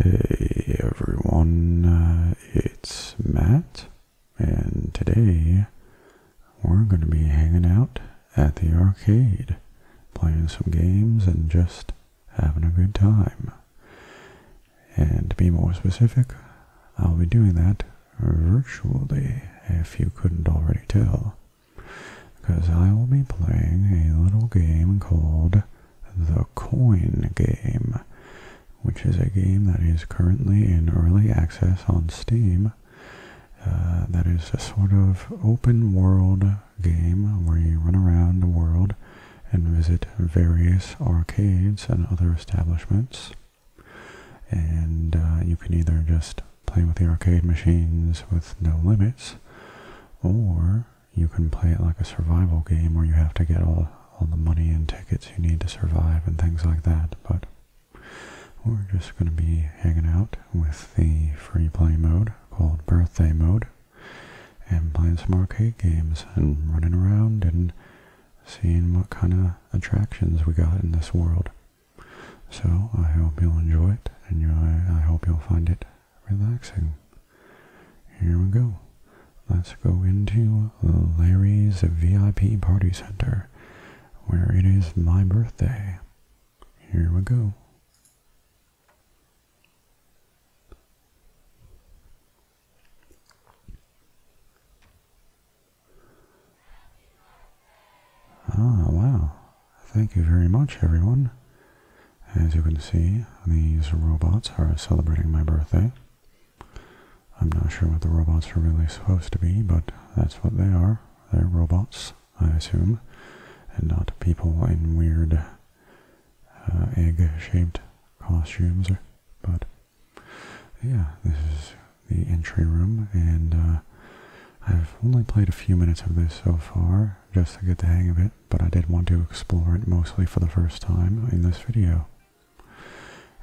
Hey everyone, uh, it's Matt, and today we're going to be hanging out at the arcade, playing some games and just having a good time. And to be more specific, I'll be doing that virtually, if you couldn't already tell because I will be playing a little game called the Coin Game, which is a game that is currently in early access on Steam. Uh, that is a sort of open world game where you run around the world and visit various arcades and other establishments. And uh, you can either just play with the arcade machines with no limits, or you can play it like a survival game where you have to get all, all the money and tickets you need to survive and things like that, but we're just going to be hanging out with the free play mode called Birthday Mode and playing some arcade games and running around and seeing what kind of attractions we got in this world. So I hope you'll enjoy it and I hope you'll find it relaxing. Here we go. Let's go into Larry's VIP Party Center, where it is my birthday. Here we go. Ah, wow. Thank you very much, everyone. As you can see, these robots are celebrating my birthday. I'm not sure what the robots are really supposed to be, but that's what they are. They're robots, I assume, and not people in weird uh, egg-shaped costumes. But yeah, this is the entry room, and uh, I've only played a few minutes of this so far, just to get the hang of it but I did want to explore it mostly for the first time in this video.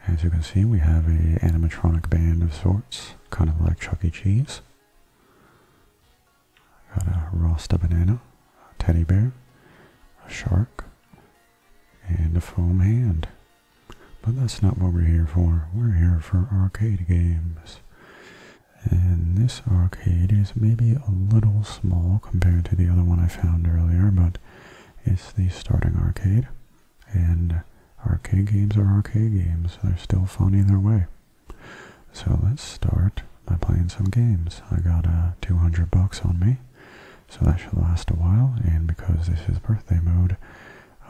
As you can see, we have a animatronic band of sorts, kind of like Chuck E. Cheese. Got a Rasta banana, a teddy bear, a shark, and a foam hand. But that's not what we're here for. We're here for arcade games. And this arcade is maybe a little small compared to the other one I found earlier, but it's the starting arcade. And arcade games are arcade games. They're still fun either way. So let's start by playing some games. I got uh, 200 bucks on me, so that should last a while. And because this is birthday mode,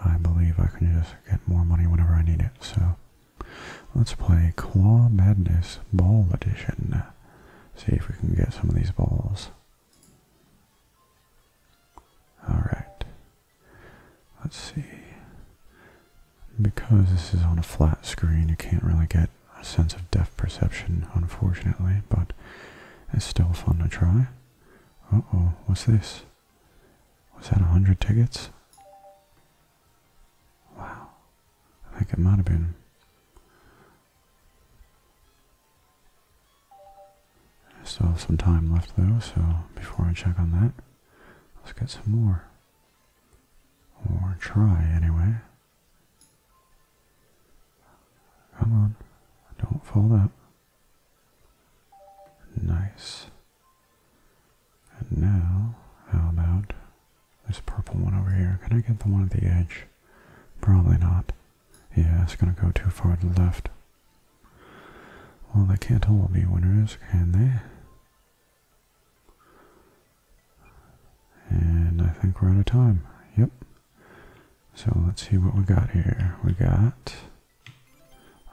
I believe I can just get more money whenever I need it. So Let's play Claw Madness Ball Edition. See if we can get some of these balls. Alright. Let's see. Because this is on a flat screen, you can't really get a sense of depth perception, unfortunately, but it's still fun to try. Uh-oh, what's this? Was that a hundred tickets? Wow. I think it might have been. I still have some time left though, so before I check on that, let's get some more. Or try anyway. Come on. Don't fold up. Nice. And now, how about this purple one over here. Can I get the one at the edge? Probably not. Yeah, it's going to go too far to the left. Well, they can't all be winners, can they? And I think we're out of time. Yep. So let's see what we got here. We got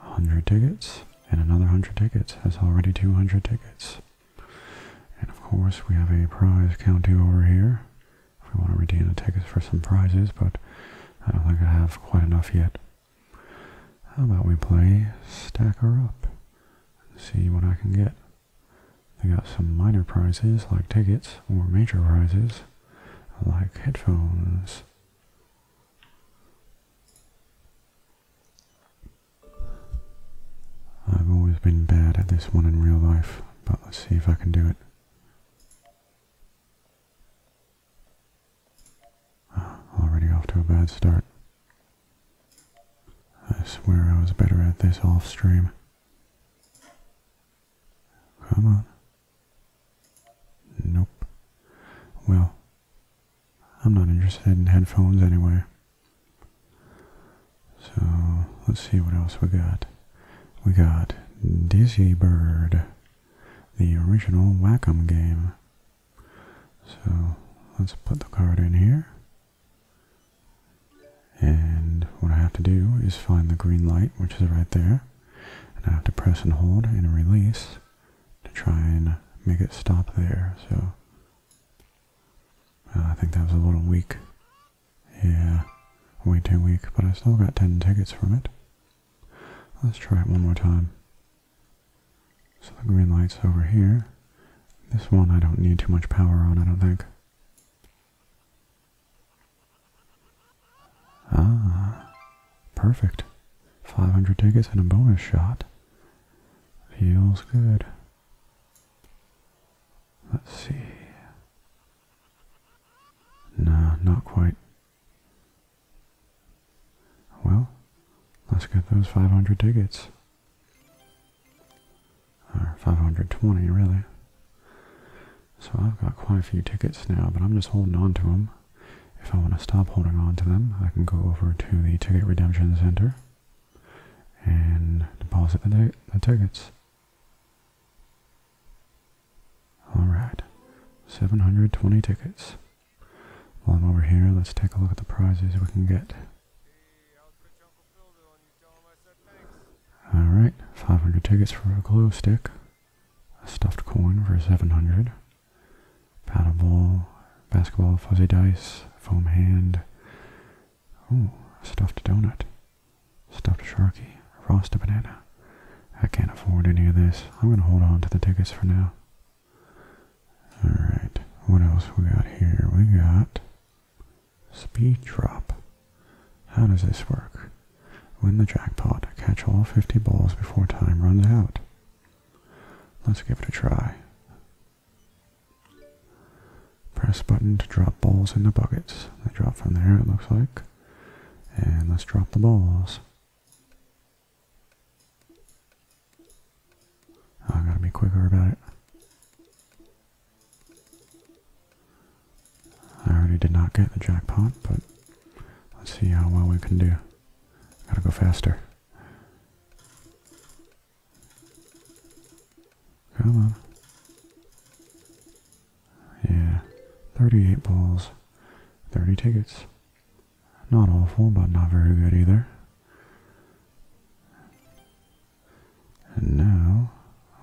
100 tickets and another 100 tickets. That's already 200 tickets. And of course, we have a prize counter over here. If we want to redeem the tickets for some prizes, but I don't think I have quite enough yet. How about we play Stacker Up and see what I can get? They got some minor prizes like tickets or major prizes like headphones. I've always been bad at this one in real life, but let's see if I can do it. Ah, already off to a bad start. I swear I was better at this off stream. Come on. Nope. Well, I'm not interested in headphones anyway. So let's see what else we got. We got Dizzy Bird, the original Whack'em game. So let's put the card in here. And what I have to do is find the green light, which is right there. And I have to press and hold and release to try and make it stop there. So uh, I think that was a little weak. Yeah, way too weak, but I still got 10 tickets from it. Let's try it one more time. So the green light's over here. This one I don't need too much power on, I don't think. Ah, perfect. 500 tickets and a bonus shot. Feels good. Let's see. No, not quite. Well, let's get those 500 tickets. Or 520, really. So I've got quite a few tickets now, but I'm just holding on to them. If I want to stop holding on to them, I can go over to the Ticket Redemption Center and deposit the, tickets. Alright, 720 tickets. While I'm over here, let's take a look at the prizes we can get. Alright, 500 tickets for a glow stick, a stuffed coin for 700, paddle ball, basketball, fuzzy dice, foam hand, Oh, stuffed donut. Stuffed sharky. Frosted banana. I can't afford any of this. I'm going to hold on to the tickets for now. Alright, what else we got here? We got speed drop. How does this work? Win the jackpot. Catch all 50 balls before time runs out. Let's give it a try. Press button to drop balls in the buckets. They drop from there, it looks like. And let's drop the balls. Oh, I gotta be quicker about it. I already did not get the jackpot, but let's see how well we can do. Gotta go faster. Come on. Yeah, 38 balls, 30 tickets. Not awful, but not very good either. And now,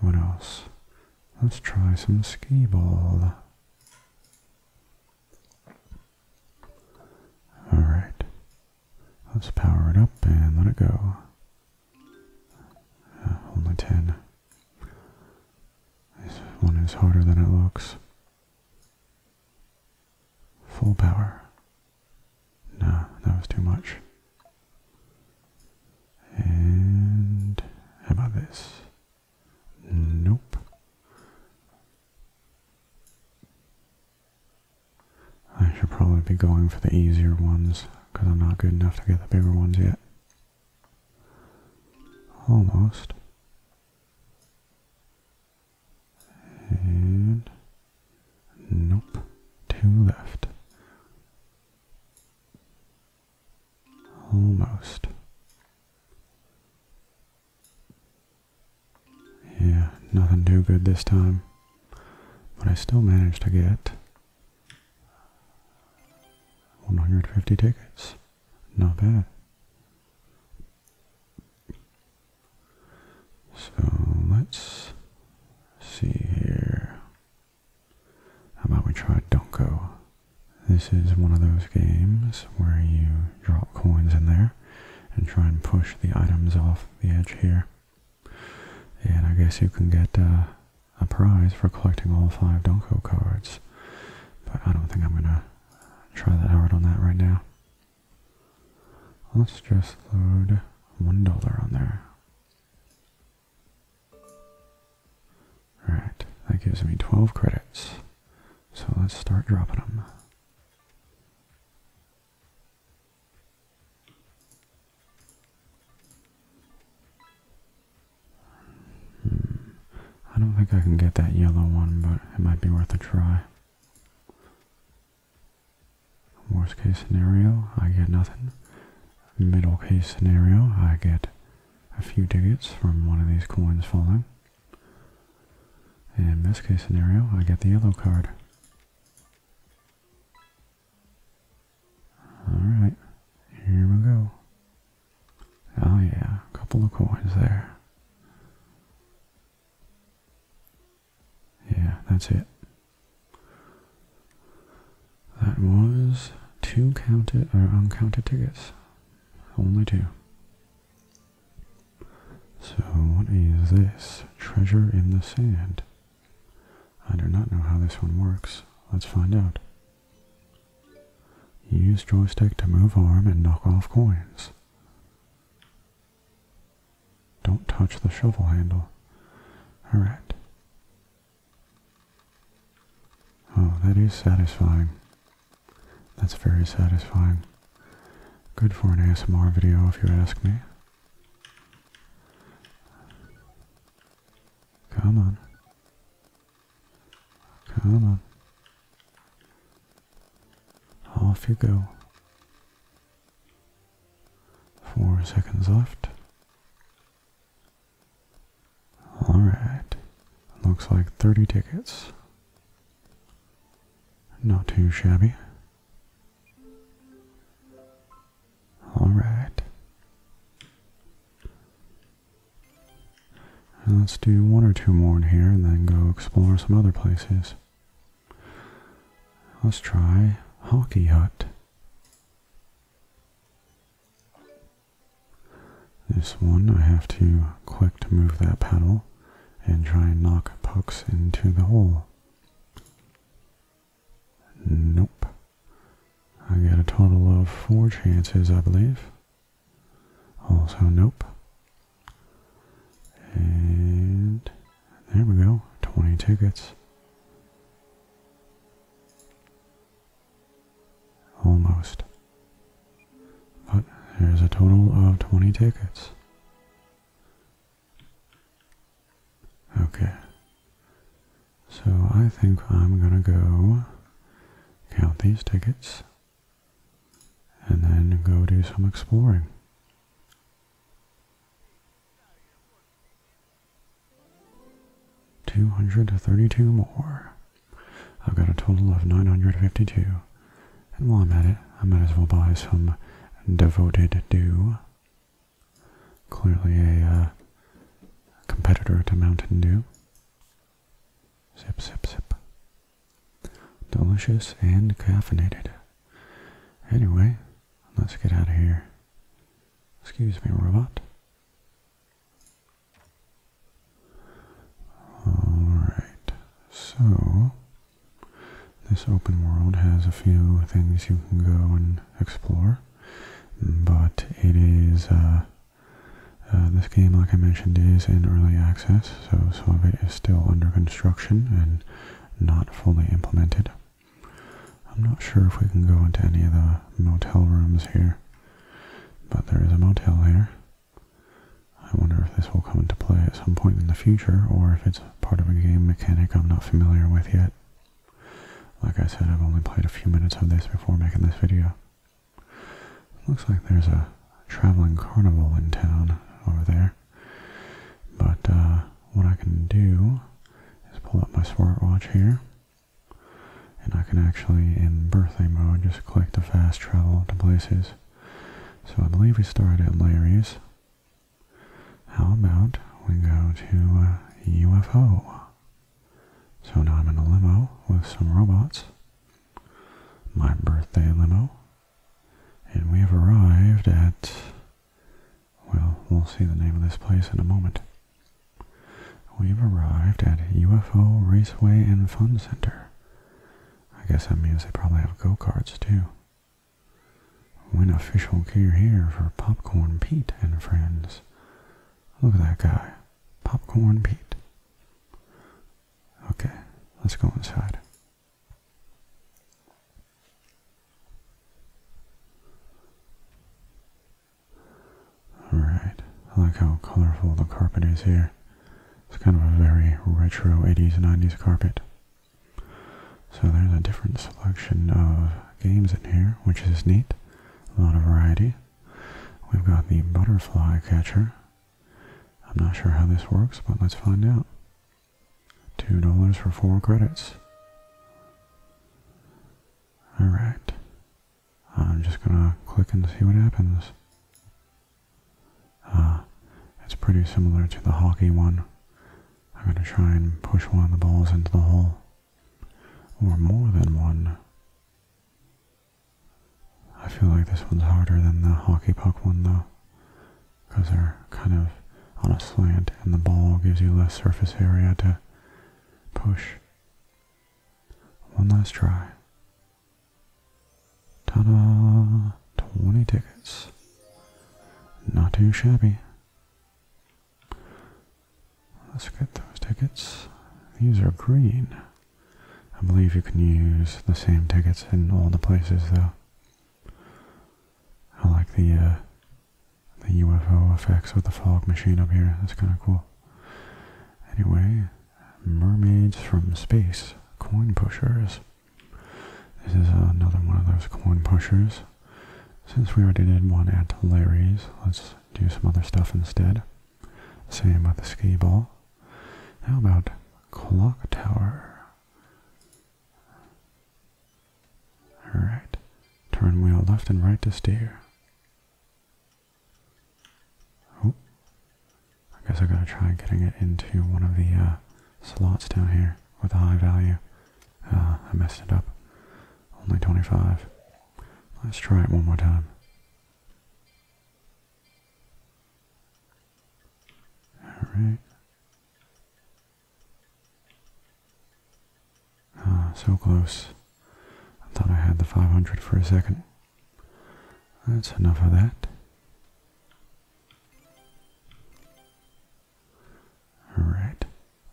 what else? Let's try some skee ball. Alright. Let's power it up and let it go. Uh, only ten. This one is harder than it looks. Full power. No, that was too much. And about this? Nope. I should probably be going for the easier ones because I'm not good enough to get the bigger ones yet. Almost. And nope, two left. Almost. Yeah, nothing too good this time. But I still managed to get 150 tickets. Not bad. So let's see here. How about we try Donko? This is one of those games where you drop coins in there and try and push the items off the edge here. And I guess you can get uh, a prize for collecting all five Donko cards. But I don't think I'm going to try that hard on that right now. Let's just load $1 on there. Alright, that gives me 12 credits. So let's start dropping them. I don't think I can get that yellow one, but it might be worth a try. Worst case scenario, I get nothing. Middle case scenario, I get a few digits from one of these coins falling. And best case scenario, I get the yellow card. Alright, here we go. Oh yeah, a couple of coins there. Yeah, that's it. That was two counted or uncounted tickets. Only two. So what is this? Treasure in the sand. I do not know how this one works. Let's find out. Use joystick to move arm and knock off coins. Don't touch the shovel handle. Alright. Oh, that is satisfying. That's very satisfying. Good for an ASMR video if you ask me. Come on. Come on. Off you go. Four seconds left. Alright. Looks like 30 tickets. Not too shabby. All right. let's do one or two more in here and then go explore some other places. Let's try Hockey Hut. This one I have to click to move that paddle and try and knock pucks into the hole. Nope. I got a total of four chances, I believe. Also, nope. And there we go. 20 tickets. Almost. But there's a total of 20 tickets. Okay. So I think I'm gonna go count these tickets and then go do some exploring. Two hundred thirty-two more. I've got a total of nine hundred fifty-two. And while I'm at it, I might as well buy some devoted do. Clearly a uh, competitor to Mountain Dew. Sip, sip, sip. Delicious and caffeinated. Anyway, let's get out of here. Excuse me, robot. Alright, so this open world has a few things you can go and explore but it is uh, uh, this game, like I mentioned, is in early access, so some of it is still under construction and not fully implemented. I'm not sure if we can go into any of the motel rooms here, but there is a motel here. I wonder if this will come into play at some point in the future, or if it's part of a game mechanic I'm not familiar with yet. Like I said, I've only played a few minutes of this before making this video. looks like there's a traveling carnival in town over there. But uh, what I can do is pull up my smartwatch here. And I can actually, in birthday mode, just click the fast travel to places. So I believe we started at Larry's. How about we go to a uh, UFO? So now I'm in a limo with some robots. My birthday limo. And we have arrived at, well, we'll see the name of this place in a moment. We've arrived at UFO Raceway and Fun Center. I guess that means they probably have go-karts too. When official care here for Popcorn Pete and friends. Look at that guy. Popcorn Pete. Okay, let's go inside. Alright, I like how colorful the carpet is here. It's kind of a very retro 80s, 90s carpet. So there's a different selection of games in here, which is neat. A lot of variety. We've got the butterfly catcher. I'm not sure how this works, but let's find out. Two dollars for four credits. Alright. I'm just gonna click and see what happens. Uh, it's pretty similar to the hockey one. I'm gonna try and push one of the balls into the hole or more than one. I feel like this one's harder than the hockey puck one though, because they're kind of on a slant and the ball gives you less surface area to push. One last try. Ta-da! 20 tickets. Not too shabby. Let's get those tickets. These are green. I believe you can use the same tickets in all the places, though. I like the uh, the UFO effects with the fog machine up here. That's kind of cool. Anyway, mermaids from space, coin pushers. This is another one of those coin pushers. Since we already did one at Larry's, let's do some other stuff instead. Same with the ski ball. How about clock tower? Alright. Turn wheel left and right to steer. Oh. I guess I gotta try getting it into one of the uh, slots down here with a high value. Uh, I messed it up. Only 25. Let's try it one more time. Alright. Ah, so close. I thought I had the 500 for a second. That's enough of that. Alright.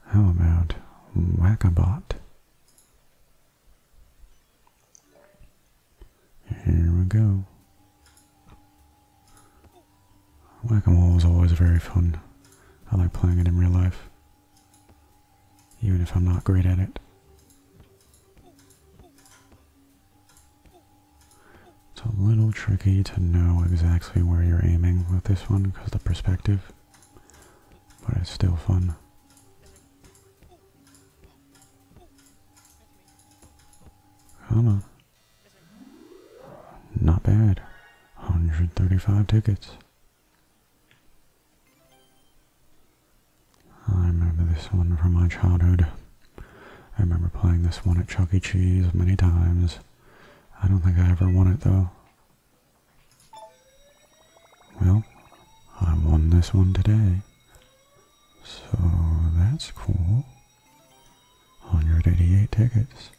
How about Whackabot? Here we go. Whack-a-mole is always very fun. I like playing it in real life. Even if I'm not great at it. It's a little tricky to know exactly where you're aiming with this one because the perspective but it's still fun. Come on. Not bad. 135 tickets. I remember this one from my childhood. I remember playing this one at Chuck E. Cheese many times. I don't think I ever won it though. Well, I won this one today. So that's cool. 188 tickets.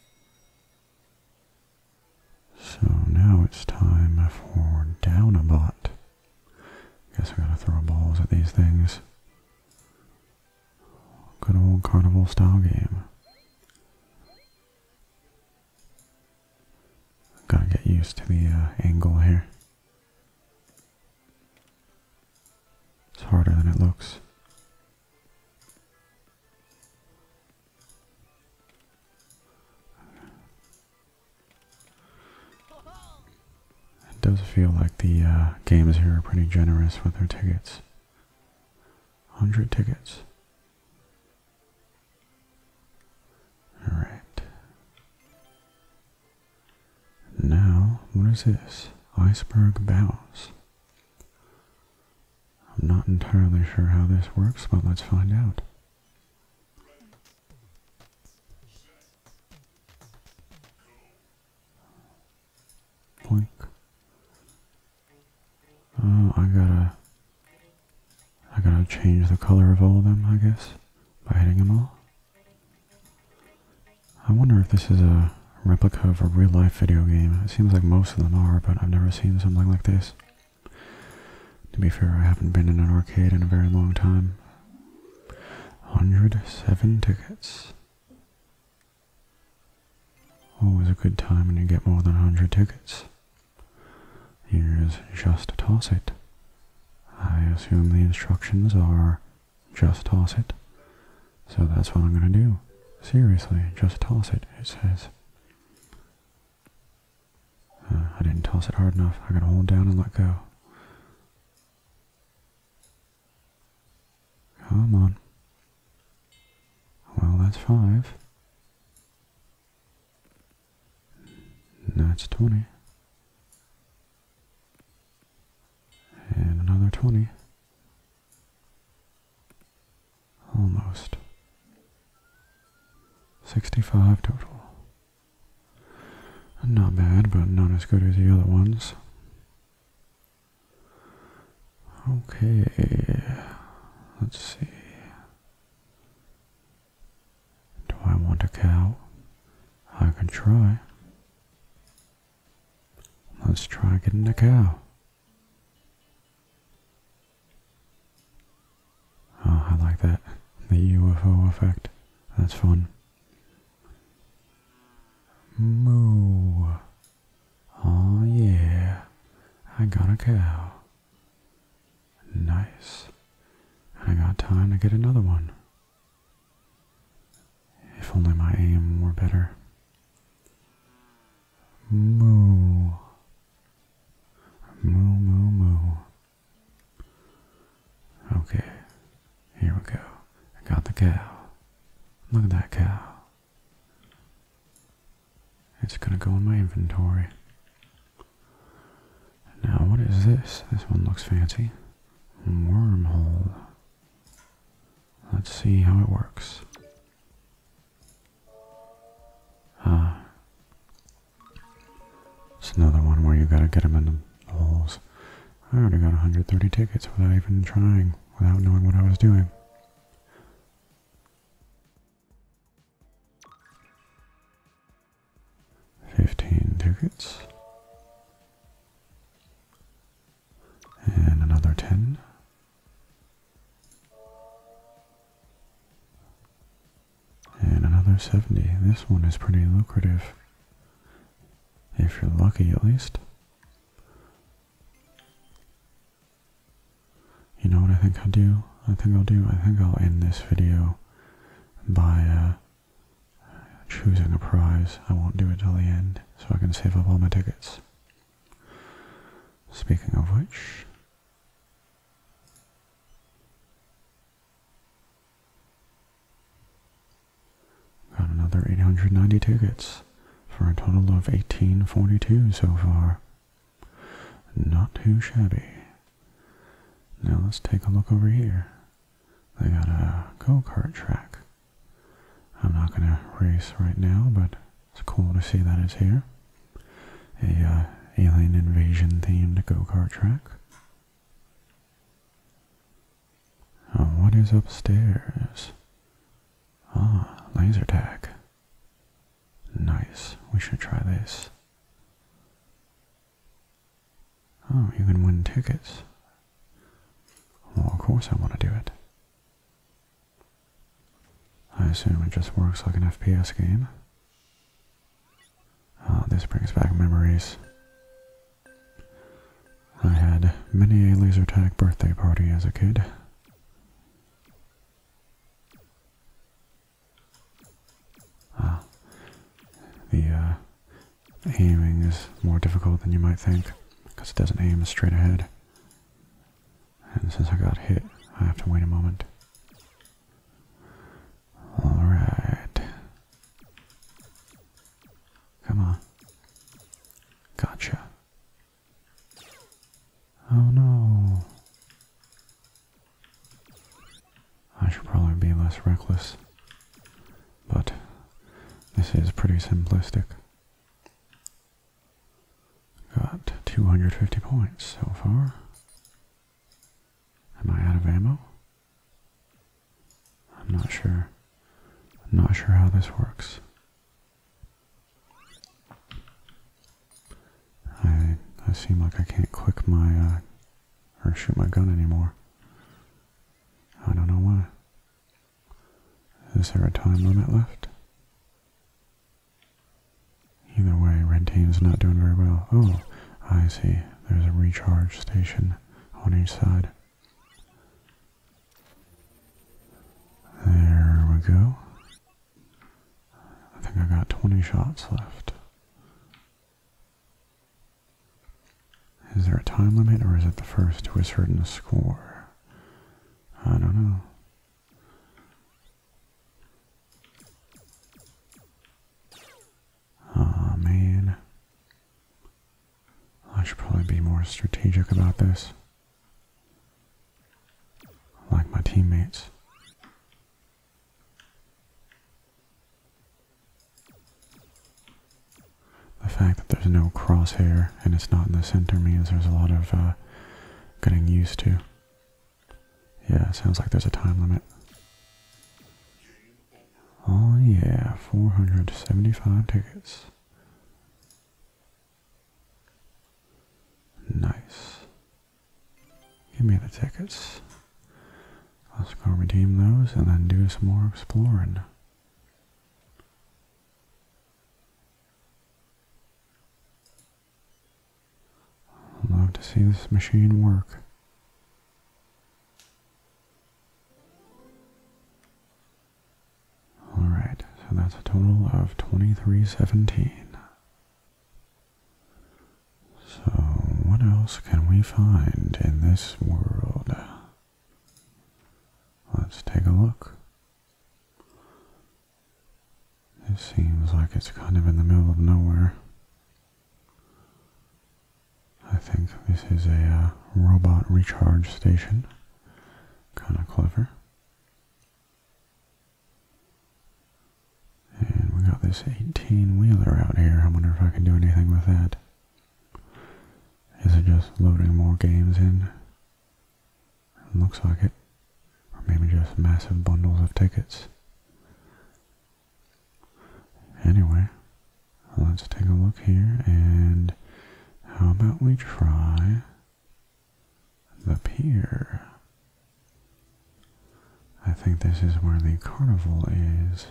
So now it's time for down a bot. Guess I gotta throw balls at these things. Good old carnival style game. Gotta get used to the uh, angle here. It's harder than it looks. It does feel like the uh, games here are pretty generous with their tickets. 100 tickets. All right. Now, what is this? Iceberg bows. I'm not entirely sure how this works, but let's find out. Boink. Oh, I gotta... I gotta change the color of all of them, I guess, by hitting them all. I wonder if this is a replica of a real-life video game. It seems like most of them are, but I've never seen something like this. To be fair, I haven't been in an arcade in a very long time. 107 tickets. Always a good time when you get more than 100 tickets. Here's just toss it. I assume the instructions are just toss it. So that's what I'm going to do. Seriously, just toss it, it says. Uh, I didn't toss it hard enough. I gotta hold down and let go. Come on. Well, that's five. Now it's 20. And another 20. Almost. 65 total. Not bad, but not as good as the other ones. Okay, let's see. Do I want a cow? I can try. Let's try getting a cow. Oh, I like that. The UFO effect. That's fun. Moo. Oh yeah. I got a cow. Nice. And I got time to get another one. If only my aim were better. Moo. Moo, moo, moo. Okay. Here we go. I got the cow. Look at that cow. It's going to go in my inventory. Now, what is this? This one looks fancy. Wormhole. Let's see how it works. Ah. It's another one where you gotta get them in the holes. I already got 130 tickets without even trying, without knowing what I was doing. 15 tickets. And another 10. And another 70. This one is pretty lucrative. If you're lucky, at least. You know what I think I'll do? I think I'll do. I think I'll end this video by uh, choosing a prize. I won't do it till the end so I can save up all my tickets. Speaking of which, got another 890 tickets for a total of 1842 so far. Not too shabby. Now let's take a look over here. They got a go-kart track. I'm not going to race right now, but it's cool to see that it's here. A uh, alien invasion themed go-kart track. Oh, what is upstairs? Ah, laser tag. Nice. We should try this. Oh, you can win tickets. Well, of course I want to do it. I assume it just works like an FPS game. Ah, this brings back memories. I had many a laser tag birthday party as a kid. Ah, uh, the aiming is more difficult than you might think because it doesn't aim straight ahead. And since I got hit, I have to wait a moment. Alright. Come on. Gotcha. Oh no. I should probably be less reckless. But this is pretty simplistic. Got 250 points so far. Am I out of ammo? I'm not sure. I'm not sure how this works. I I seem like I can't click my uh, or shoot my gun anymore. I don't know why. Is there a time limit left? Either way, red team's not doing very well. Oh, I see. There's a recharge station on each side. There we go. I think I got 20 shots left. Is there a time limit or is it the first to a certain score? I don't know. Aw, man. I should probably be more strategic about this. Like my teammates. The fact that there's no crosshair and it's not in the center means there's a lot of uh, getting used to. Yeah, sounds like there's a time limit. Oh yeah, 475 tickets. Nice. Give me the tickets. Let's go redeem those and then do some more exploring. love to see this machine work. Alright, so that's a total of 2317. So, what else can we find in this world? Let's take a look. It seems like it's kind of in the middle of nowhere. I think this is a uh, robot recharge station. Kind of clever. And we got this 18-wheeler out here. I wonder if I can do anything with that. Is it just loading more games in? looks like it. Or maybe just massive bundles of tickets. Anyway, let's take a look here and how about we try the pier? I think this is where the carnival is.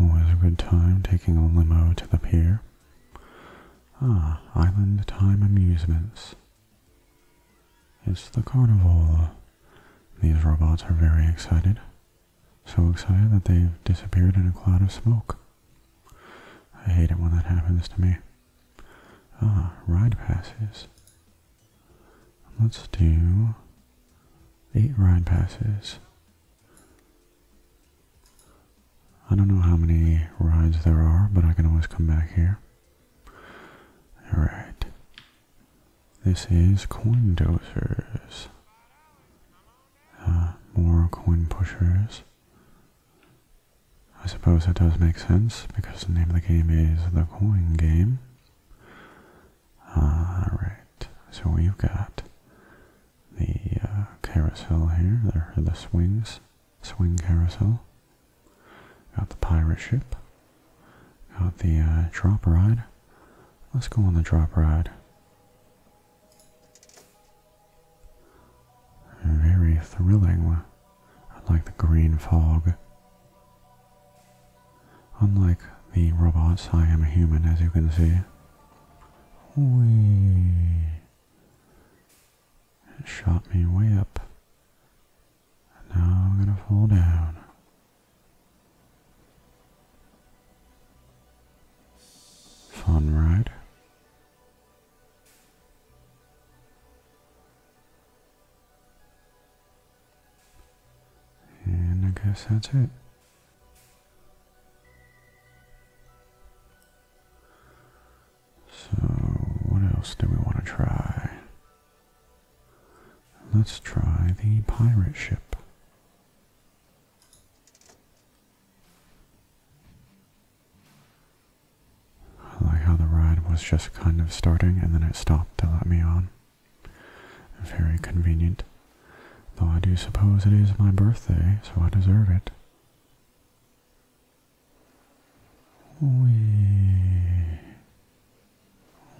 Always a good time taking a limo to the pier. Ah, Island Time Amusements. It's the carnival. These robots are very excited. So excited that they've disappeared in a cloud of smoke. I hate it when that happens to me. Ah, ride passes. Let's do eight ride passes. I don't know how many rides there are, but I can always come back here. Alright. This is coin dosers. Uh, more coin pushers. I suppose it does make sense because the name of the game is the coin game. Alright, so we've got the uh, carousel here, there are the swings, swing carousel. Got the pirate ship. Got the uh, drop ride. Let's go on the drop ride. Very thrilling. I like the green fog. Unlike the robots, I am a human, as you can see. Whee! It shot me way up. And now I'm gonna fall down. Fun, ride. And I guess that's it. So, what else do we want to try? Let's try the pirate ship. I like how the ride was just kind of starting and then it stopped to let me on. Very convenient. Though I do suppose it is my birthday, so I deserve it. Wee.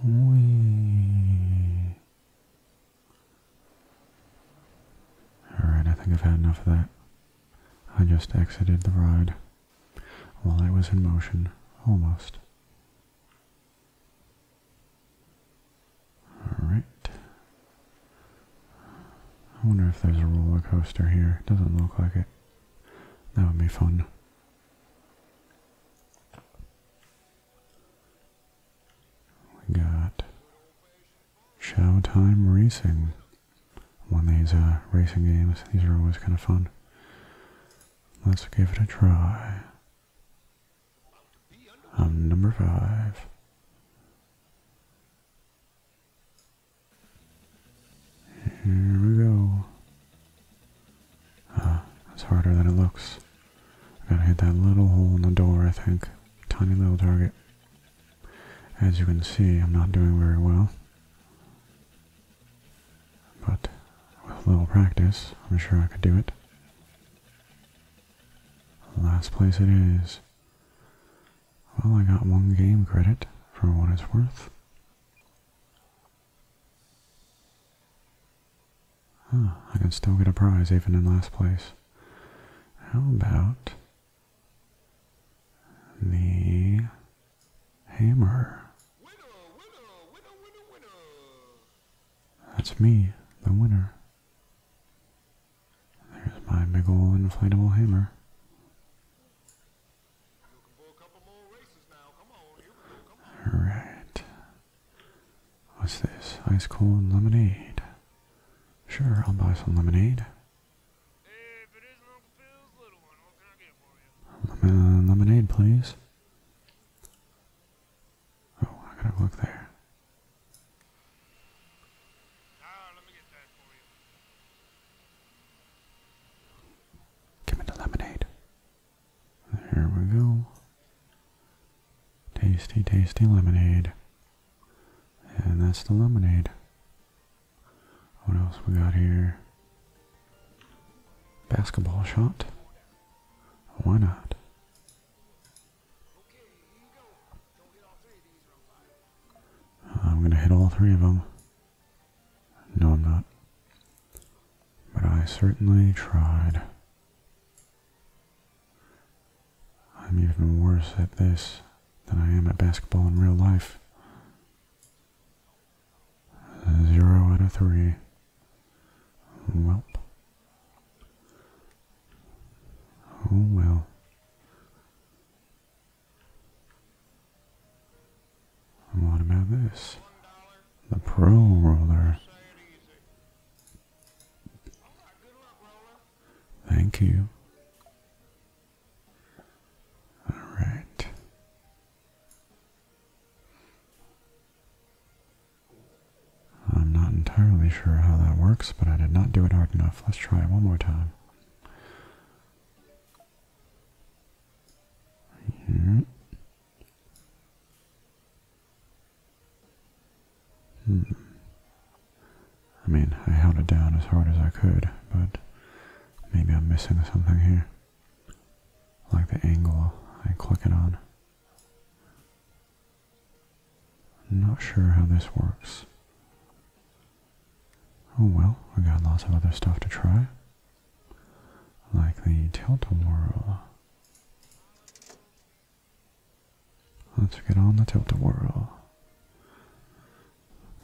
Wee. Alright, I think I've had enough of that. I just exited the ride while it was in motion, almost. Alright. I wonder if there's a roller coaster here. Doesn't look like it. That would be fun. We got Showtime Racing. One of these uh, racing games. These are always kind of fun. Let's give it a try. I'm number five. Here we go. Ah, it's harder than it looks. I gotta hit that little hole in the door, I think. Tiny little target. As you can see, I'm not doing very well. But with a little practice, I'm sure I could do it. Last place it is. Well, I got one game credit for what it's worth. Huh, ah, I can still get a prize even in last place. How about the hammer. That's me, the winner. There's my big ol' inflatable hammer. Alright. What's this? Ice cold lemonade. Sure, I'll buy some lemonade. Uh, lemonade, please. Oh, I gotta look there. let me get Give me the lemonade. There we go. Tasty, tasty lemonade. And that's the lemonade. What else we got here? Basketball shot. Why not? Uh, I'm going to hit all three of them. No, I'm not. But I certainly tried. I'm even worse at this than I am at basketball in real life. Zero out of three. Welp. Oh well. What about this? The Pro Roller. Thank you. All right. I'm not entirely sure how that works, but I did not do it hard enough. Let's try it one more time. Here. Hmm. hmm. I mean, I held it down as hard as I could, but maybe I'm missing something here. Like the angle I click it on. not sure how this works. Oh well, I got lots of other stuff to try. Like the tilt-a-whirl. Let's get on the tilt-a-whirl.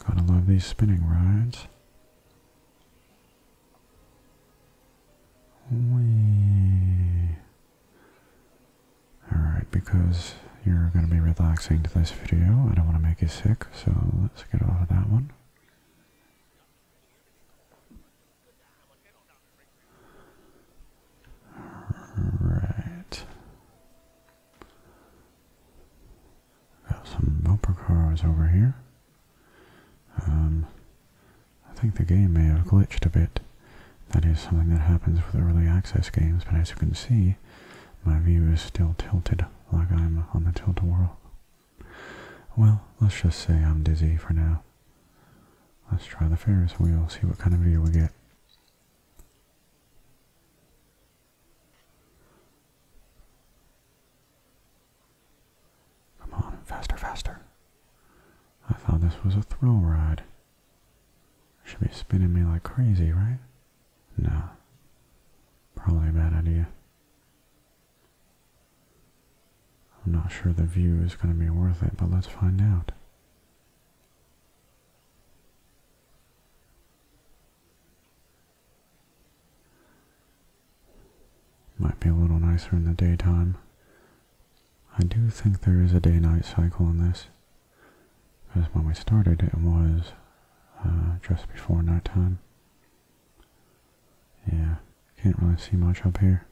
Gotta love these spinning rides. Wee. Alright, because you're going to be relaxing to this video, I don't want to make you sick, so let's get off of that one. Alright. Got some bumper cars over here. Um, I think the game may have glitched a bit. That is something that happens with early access games, but as you can see, my view is still tilted like I'm on the tilt a Well, let's just say I'm dizzy for now. Let's try the Ferris wheel, see what kind of view we get. Come on, faster, faster. I thought this was a thrill ride. should be spinning me like crazy, right? No. Probably a bad idea. I'm not sure the view is going to be worth it, but let's find out. Might be a little nicer in the daytime. I do think there is a day-night cycle in this, because when we started it was uh, just before night time. Yeah, can't really see much up here.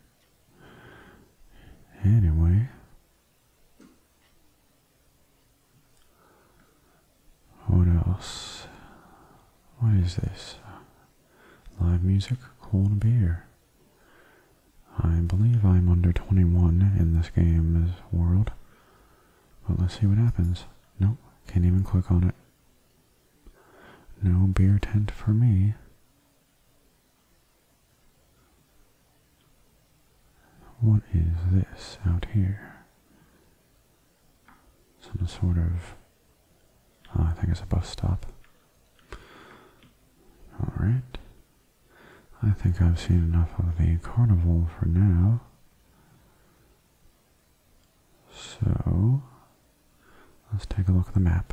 Anyway, what else? What is this? Live music, corn, beer. I believe I'm under 21 in this game's world. But let's see what happens. Nope, can't even click on it. No beer tent for me. What is this out here? some sort of oh, I think it's a bus stop. Alright. I think I've seen enough of the carnival for now. So let's take a look at the map.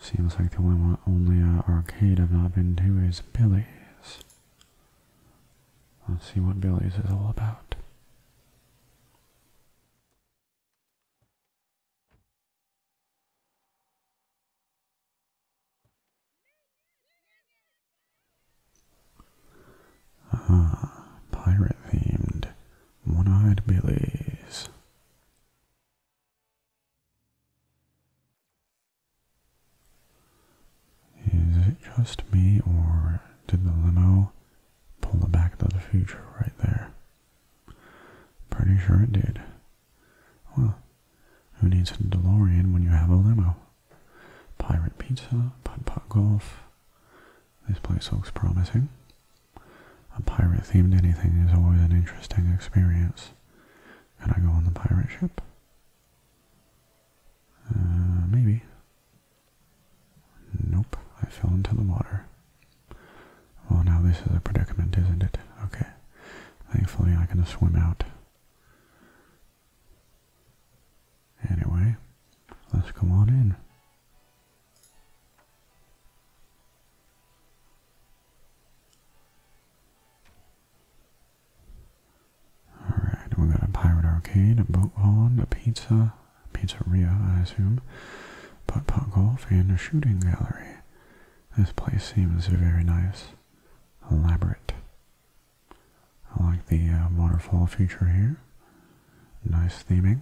Seems like the only, only uh, arcade I've not been to is Billy's. Let's see what Billy's is all about. Ah, pirate themed one eyed Billy's. Is it just me, or did the limo pull the back to the future right there? Pretty sure it did. Well, who needs a DeLorean when you have a limo? Pirate pizza, putt-putt golf. This place looks promising. A pirate-themed anything is always an interesting experience. Can I go on the pirate ship? Uh, maybe. Nope, I fell into the water. Well, now this is a predicament, isn't it? Okay. Thankfully, I can swim out. Anyway, let's come on in. Alright, we we've got a pirate arcade, a boat pond, a pizza, pizzeria, I assume, putt putt golf, and a shooting gallery. This place seems very nice, elaborate. I like the uh, waterfall feature here. Nice theming.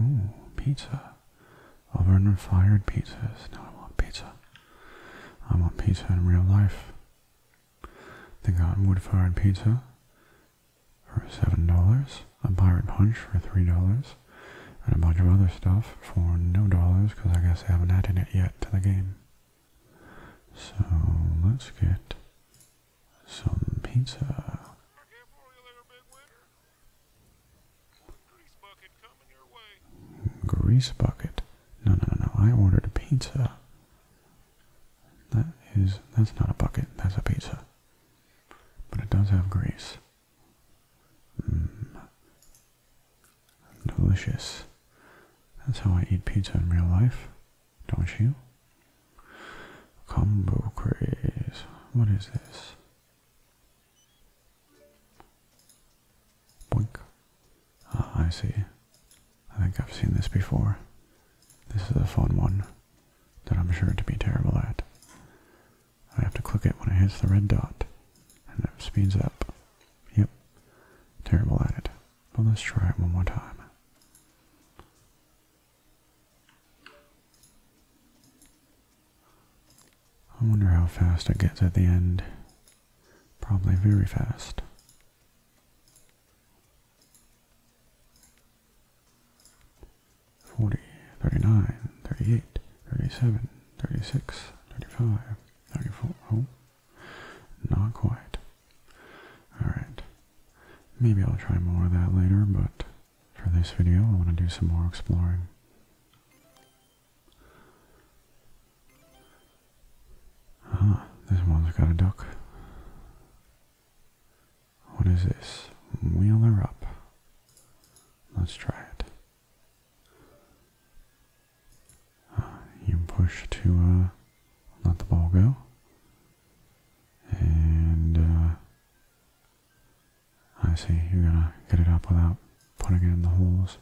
Ooh, pizza. Oven fired pizzas. Now I want pizza. I want pizza in real life. They got wood fired pizza for seven dollars, a pirate punch for three dollars, and a bunch of other stuff for no dollars because I guess they haven't added it yet to the game. So let's get some pizza. Grease bucket. No, no, no, I ordered a pizza. That is, that's not a bucket. That's a pizza. But it does have grease. Mmm. Delicious. That's how I eat pizza in real life. Don't you? Combo craze. What is this? Boink. Ah, I see. I think I've seen this before. This is a fun one that I'm sure to be terrible at. I have to click it when it hits the red dot, and it speeds up. Yep, terrible at it. But let's try it one more time. I wonder how fast it gets at the end. Probably very fast. 40, 39, 38, 37, 36, 35, 34. Oh, not quite. Alright. Maybe I'll try more of that later, but for this video I want to do some more exploring. Ah, this one's got a duck. What is this? Wheel her up. Let's try it. Ah, you push to uh, let the ball go. And uh, I see you're gonna get it up without putting it in the holes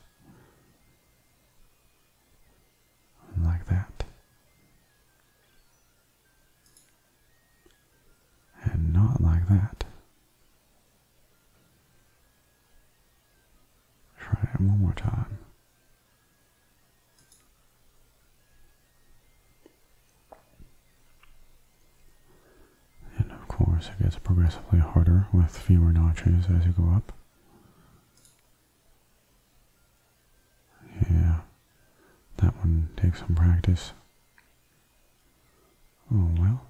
like that. And not like that. Try it one more time. And of course, it gets progressively harder with fewer notches as you go up. Yeah, that one takes some practice. Oh well.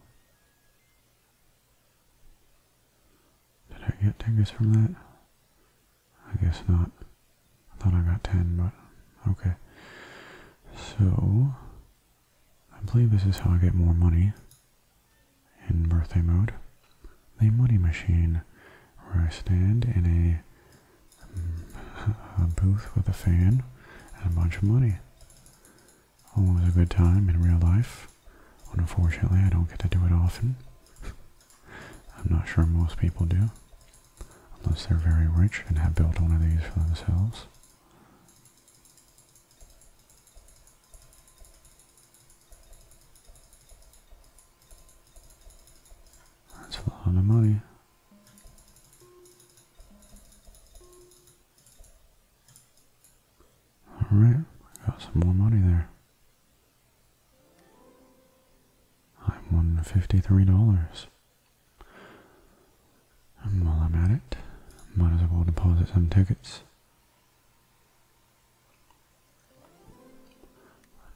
Did I get tickets from that? I guess not. I thought I got 10, but okay. So, I believe this is how I get more money. In birthday mode, the money machine, where I stand in mm, a, booth with a fan and a bunch of money. Always a good time in real life. Unfortunately, I don't get to do it often. I'm not sure most people do, unless they're very rich and have built one of these for themselves. That's a lot of money. Alright, I got some more money there. I won $53. And while I'm at it, might as well deposit some tickets.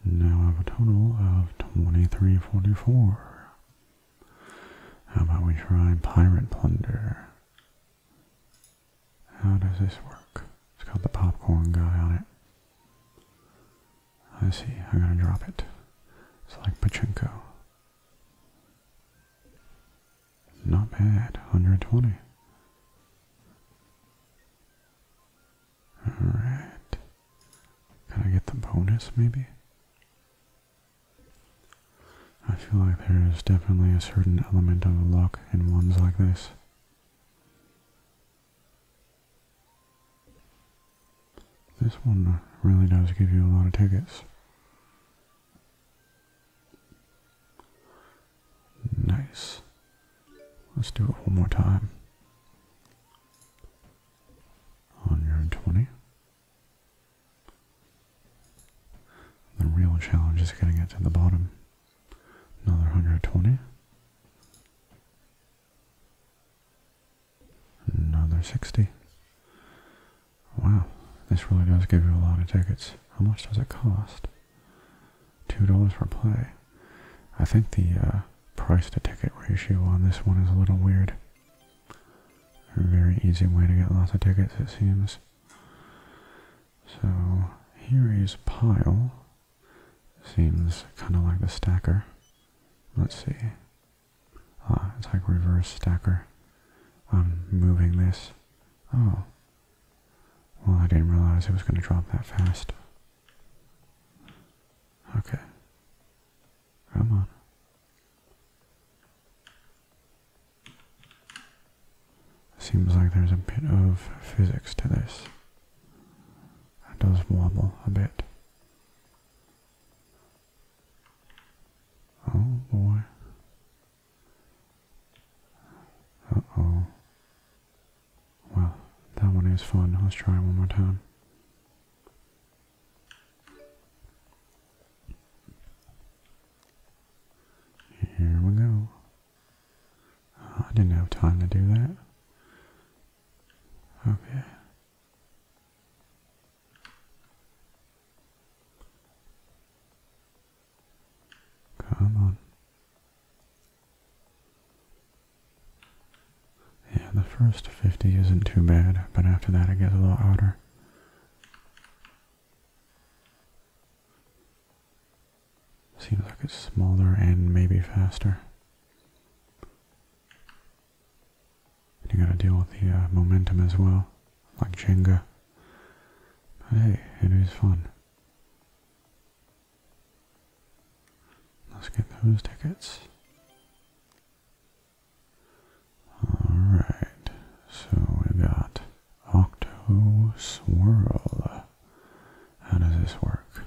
Now I have a total of 2344. How about we try Pirate Plunder? How does this work? It's got the popcorn guy on it. I see, I'm gonna drop it. It's like Pachinko. Not bad, 120. Alright. Can I get the bonus maybe? I feel like there is definitely a certain element of luck in ones like this. This one really does give you a lot of tickets. Nice. Let's do it one more time. 120. The real challenge is getting it to the bottom. Another 120. Another 60. Wow, this really does give you a lot of tickets. How much does it cost? two dollars for play. I think the uh, price to ticket ratio on this one is a little weird. very easy way to get lots of tickets, it seems. So here is pile. Seems kind of like the stacker. Let's see. Ah, it's like reverse stacker. I'm moving this. Oh. Well, I didn't realize it was going to drop that fast. Okay. Come on. Seems like there's a bit of physics to this. It does wobble a bit. Oh boy. Uh oh. Well, that one is fun. Let's try one more time. Here we go. Ah, I didn't have time to do that. Okay. Come on. Yeah, the first 50 isn't too bad, but after that it gets a little harder. Seems like it's smaller and maybe faster. you gotta deal with the uh, momentum as well, like Jenga. But hey, it is fun. Let's get those tickets. Alright, so we got Octo Swirl. How does this work?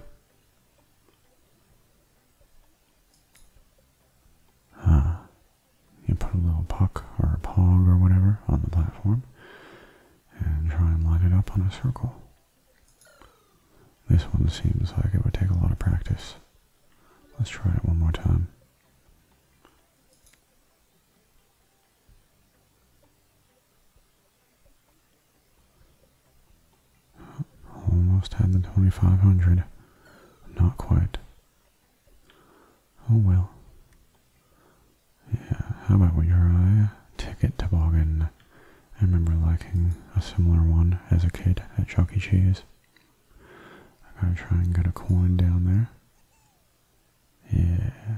Ah, you put a little puck or a pog or whatever on the platform and try and line it up on a circle. This one seems like it would take a lot of practice. Let's try it one more time. Almost had the 2500. Not quite. Oh well. Yeah, how about your uh, ticket toboggan? I remember liking a similar one as a kid at Chuck E. Cheese. I gotta try and get a coin down there. Yeah.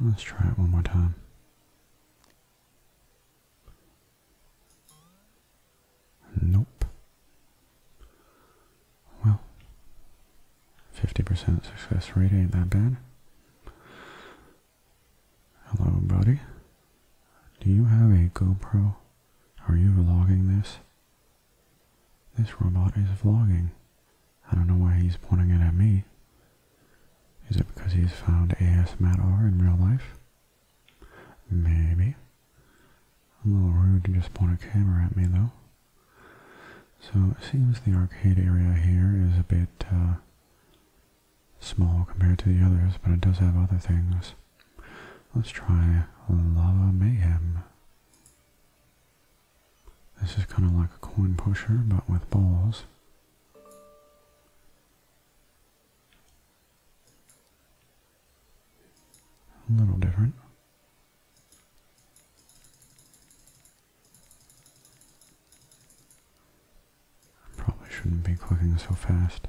Let's try it one more time. Nope. Well, 50% success rate ain't that bad. Hello, buddy. Do you have a GoPro? Are you vlogging this? This robot is vlogging. I don't know why he's pointing it at me. Is it because he's found ASMR in real life? Maybe. a little rude to just point a camera at me, though. So it seems the arcade area here is a bit uh, small compared to the others, but it does have other things. Let's try Lava Mayhem. This is kind of like a coin pusher, but with balls. A little different probably shouldn't be clicking so fast.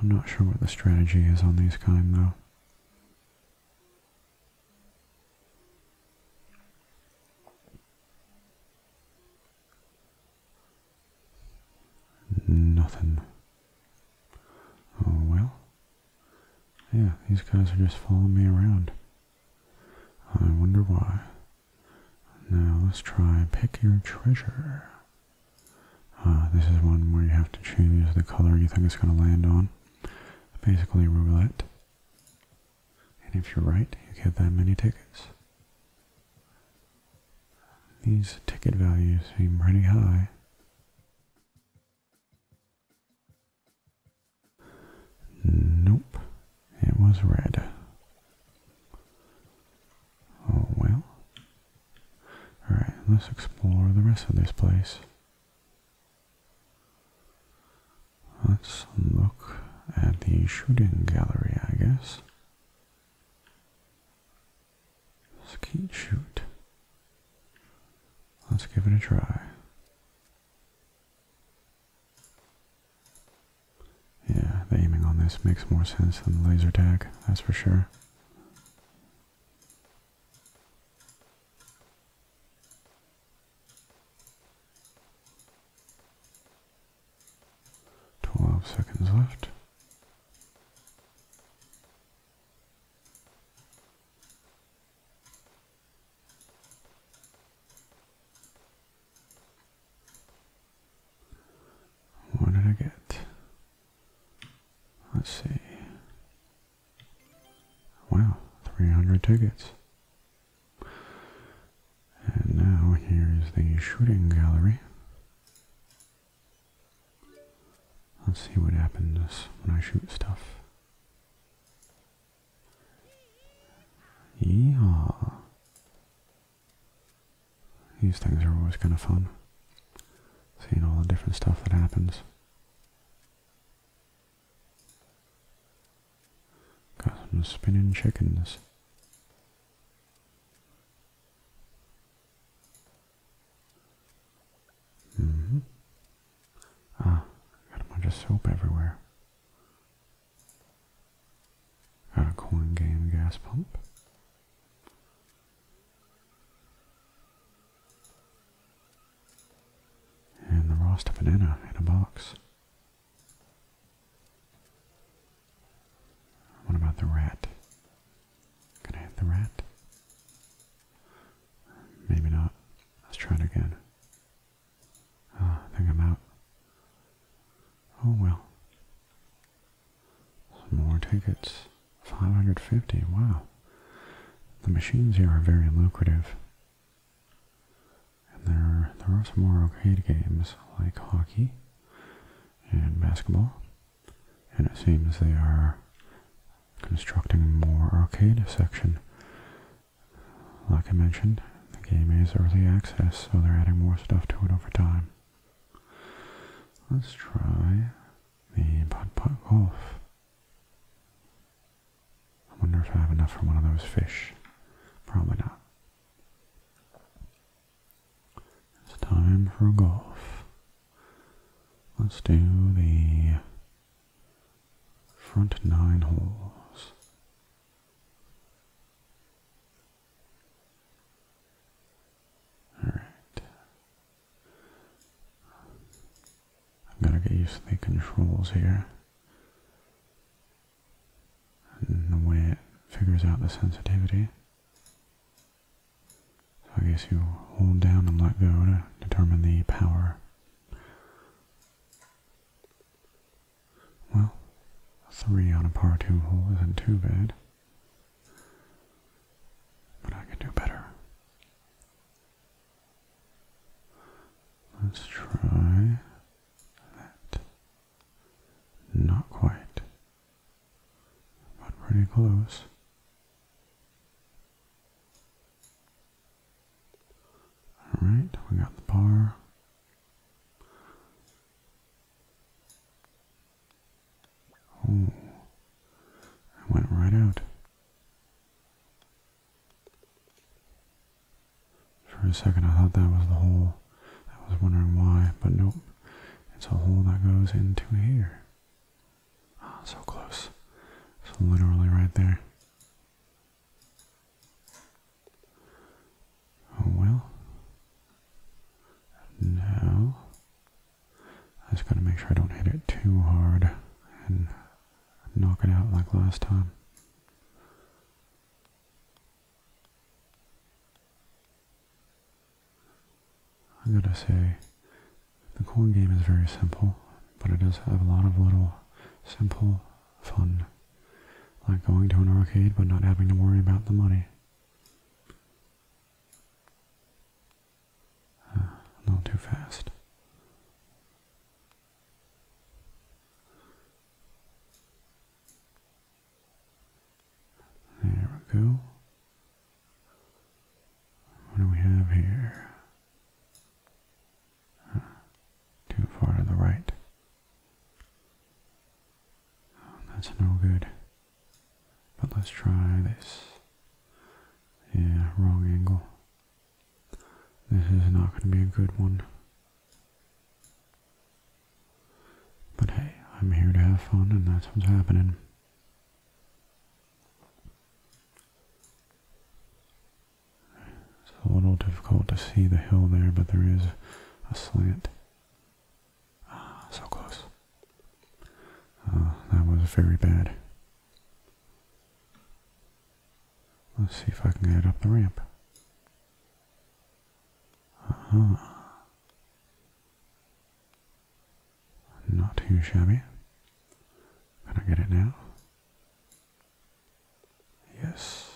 I'm not sure what the strategy is on these kind though. Nothing. Oh well. Yeah, these guys are just following me around. I wonder why. Now let's try pick your treasure. Uh, this is one where you have to choose the color you think it's going to land on. Basically roulette. And if you're right, you get that many tickets. These ticket values seem pretty high. Nope, it was red. Oh well. Alright, let's explore the rest of this place. Let's look at the shooting gallery, I guess. Skeet shoot. Let's give it a try. Yeah, the aiming on this makes more sense than the laser tag, that's for sure. Twelve seconds left. What did I get? Let's see. Wow, 300 tickets. And now here's the shooting gallery. Let's see what happens when I shoot stuff. Yeehaw. These things are always kind of fun. Seeing all the different stuff that happens. Got some spinning chickens. Mm-hmm. Ah, got a bunch of soap everywhere. Got a coin game gas pump. And the roast banana in a box. What about the rat? Can I hit the rat? Maybe not. Let's try it again. Ah, I think I'm out. Oh well. Some more tickets. 550, wow. The machines here are very lucrative. And there are, there are some more arcade games like hockey and basketball. And it seems they are constructing more arcade section. Like I mentioned, the game is early access, so they're adding more stuff to it over time. Let's try the putt putt golf. I wonder if I have enough for one of those fish. Probably not. It's time for golf. Let's do the Front nine holes. Alright. i right. I'm to get used to the controls here. And the way it figures out the sensitivity. So I guess you hold down and let go to determine the power well, three on a par two hole isn't too bad. But I can do better. Let's try that. Not quite, but pretty close. Alright, we got the bar. Oh, I went right out. For a second I thought that was the hole. I was wondering why, but nope. It's a hole that goes into here. Ah, so close. So literally right there. Oh well. Now, I just going to make sure I don't hit it too hard and knock it out like last time. I gotta say, the coin game is very simple, but it does have a lot of little simple fun. Like going to an arcade but not having to worry about the money. Uh, too fast. There we go. What do we have here? too far to the right. that's no good. But let's try this. Yeah, wrong angle. This is not going to be a good one. But hey, I'm here to have fun and that's what's happening. It's a little difficult to see the hill there, but there is a slant. Ah, so close. Ah, that was very bad. Let's see if I can get up the ramp. Uh-huh. Not too shabby. Can I get it now? Yes.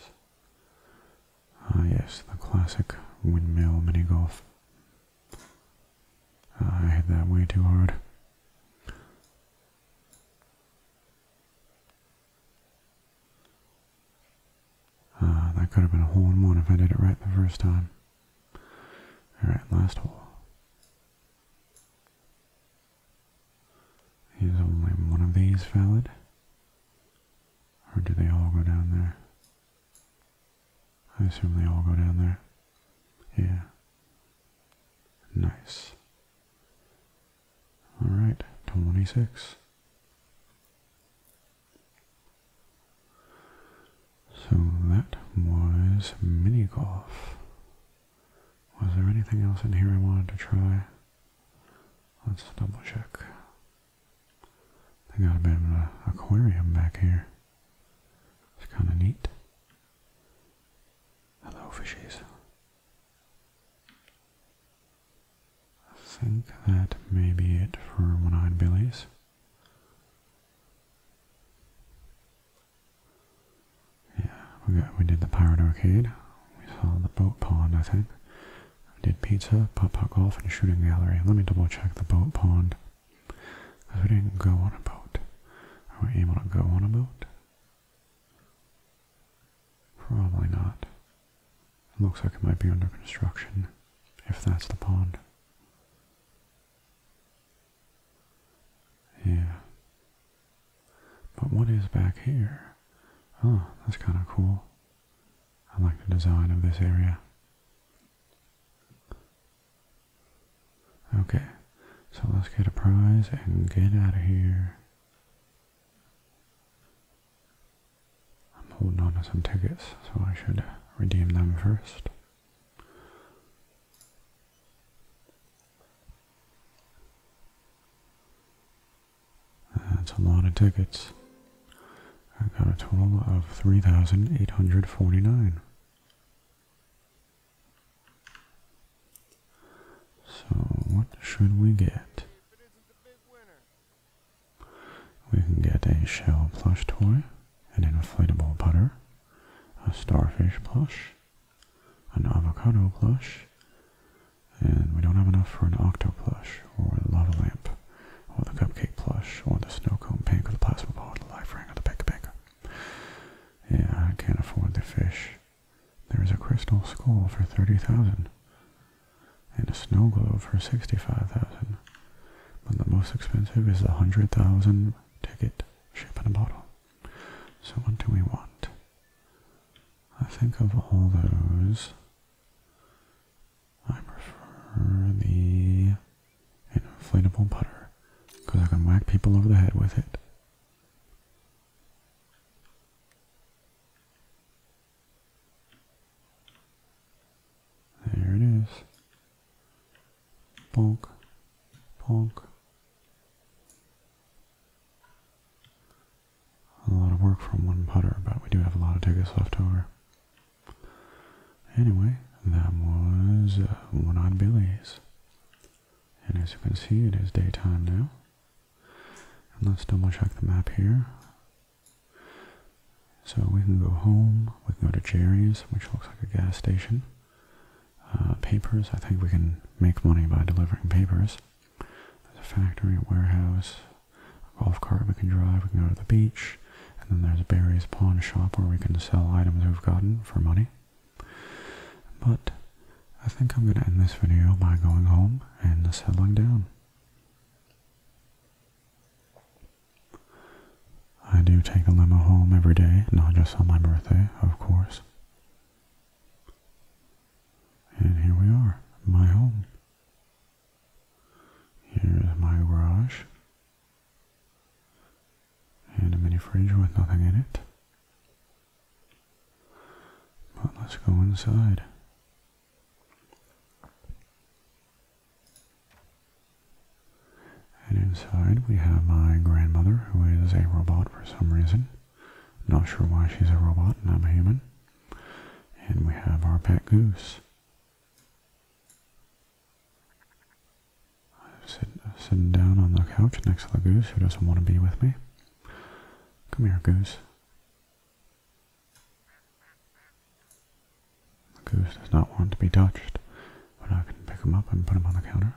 Ah, yes, the classic windmill mini golf. Ah, I hit that way too hard. Ah, that could have been a hole in one if I did it right the first time. Alright, last hole. Is only one of these valid? Or do they all go down there? I assume they all go down there. Yeah. Nice. Alright, 26. So that was mini golf. Was there anything else in here I wanted to try? Let's double check. I got a bit of an aquarium back here. It's kind of neat. Hello, fishies. I think that may be it for one-eyed billies. Yeah, we did the Pirate Arcade. We saw the Boat Pond, I think. We did pizza, putt-putt golf, and shooting gallery. Let me double check the Boat Pond. we didn't go on a boat. Are we able to go on a boat? Probably not. It looks like it might be under construction, if that's the pond. Yeah. But what is back here? Oh, that's kind of cool. I like the design of this area. Okay, so let's get a prize and get out of here. I'm holding on to some tickets, so I should redeem them first. That's a lot of tickets. I got a total of 3,849. So, what should we get? We can get a shell plush toy, an inflatable butter, a starfish plush, an avocado plush, and we don't have enough for an octo plush, or the lava lamp, or the cupcake plush, or the snow cone pink, or the plasma ball, or the life ring, or the pink pink. Yeah, I can't afford the fish. There is a crystal skull for thirty thousand, and a snow globe for sixty-five thousand. But the most expensive is the hundred thousand ticket, ship and a bottle. So what do we want? I think of all those, I prefer the inflatable putter because I can whack people over the head with it. There it is. Bonk, bonk a lot of work from one putter, but we do have a lot of tickets left over. Anyway, that was uh, One Eyed Billy's. And as you can see, it is daytime now. let's double check the map here. So we can go home, we can go to Jerry's, which looks like a gas station. Uh, papers, I think we can make money by delivering papers. There's a factory, a warehouse, a golf cart we can drive, we can go to the beach, and then there's Barry's pawn shop where we can sell items we've gotten for money. But I think I'm going to end this video by going home and settling down. I do take a limo home every day, not just on my birthday, of course. And here we are, my home. Here is my garage. And a mini fridge with nothing in it. But let's go inside. And inside we have my grandmother, who is a robot for some reason. Not sure why she's a robot and I'm a human. And we have our pet goose. I'm sitting, down on the couch next to the goose who doesn't want to be with me. Come here, goose. The goose does not want to be touched, but I can pick him up and put him on the counter.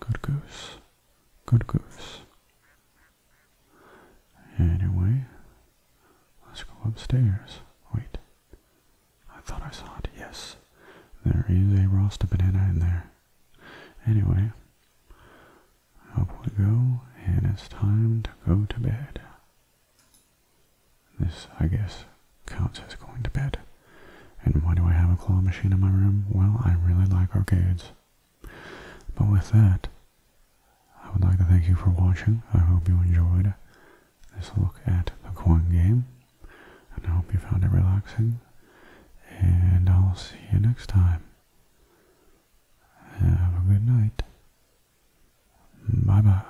Good goose. Good goose. Anyway, let's go upstairs. Wait. I thought I saw it. Yes. There is a Rasta banana in there. Anyway, up we go, and it's time to go to bed. This, I guess, Count says going to bed. And why do I have a claw machine in my room? Well, I really like arcades. But with that, I would like to thank you for watching. I hope you enjoyed this look at the coin game. And I hope you found it relaxing. And I'll see you next time. Have a good night. Bye-bye.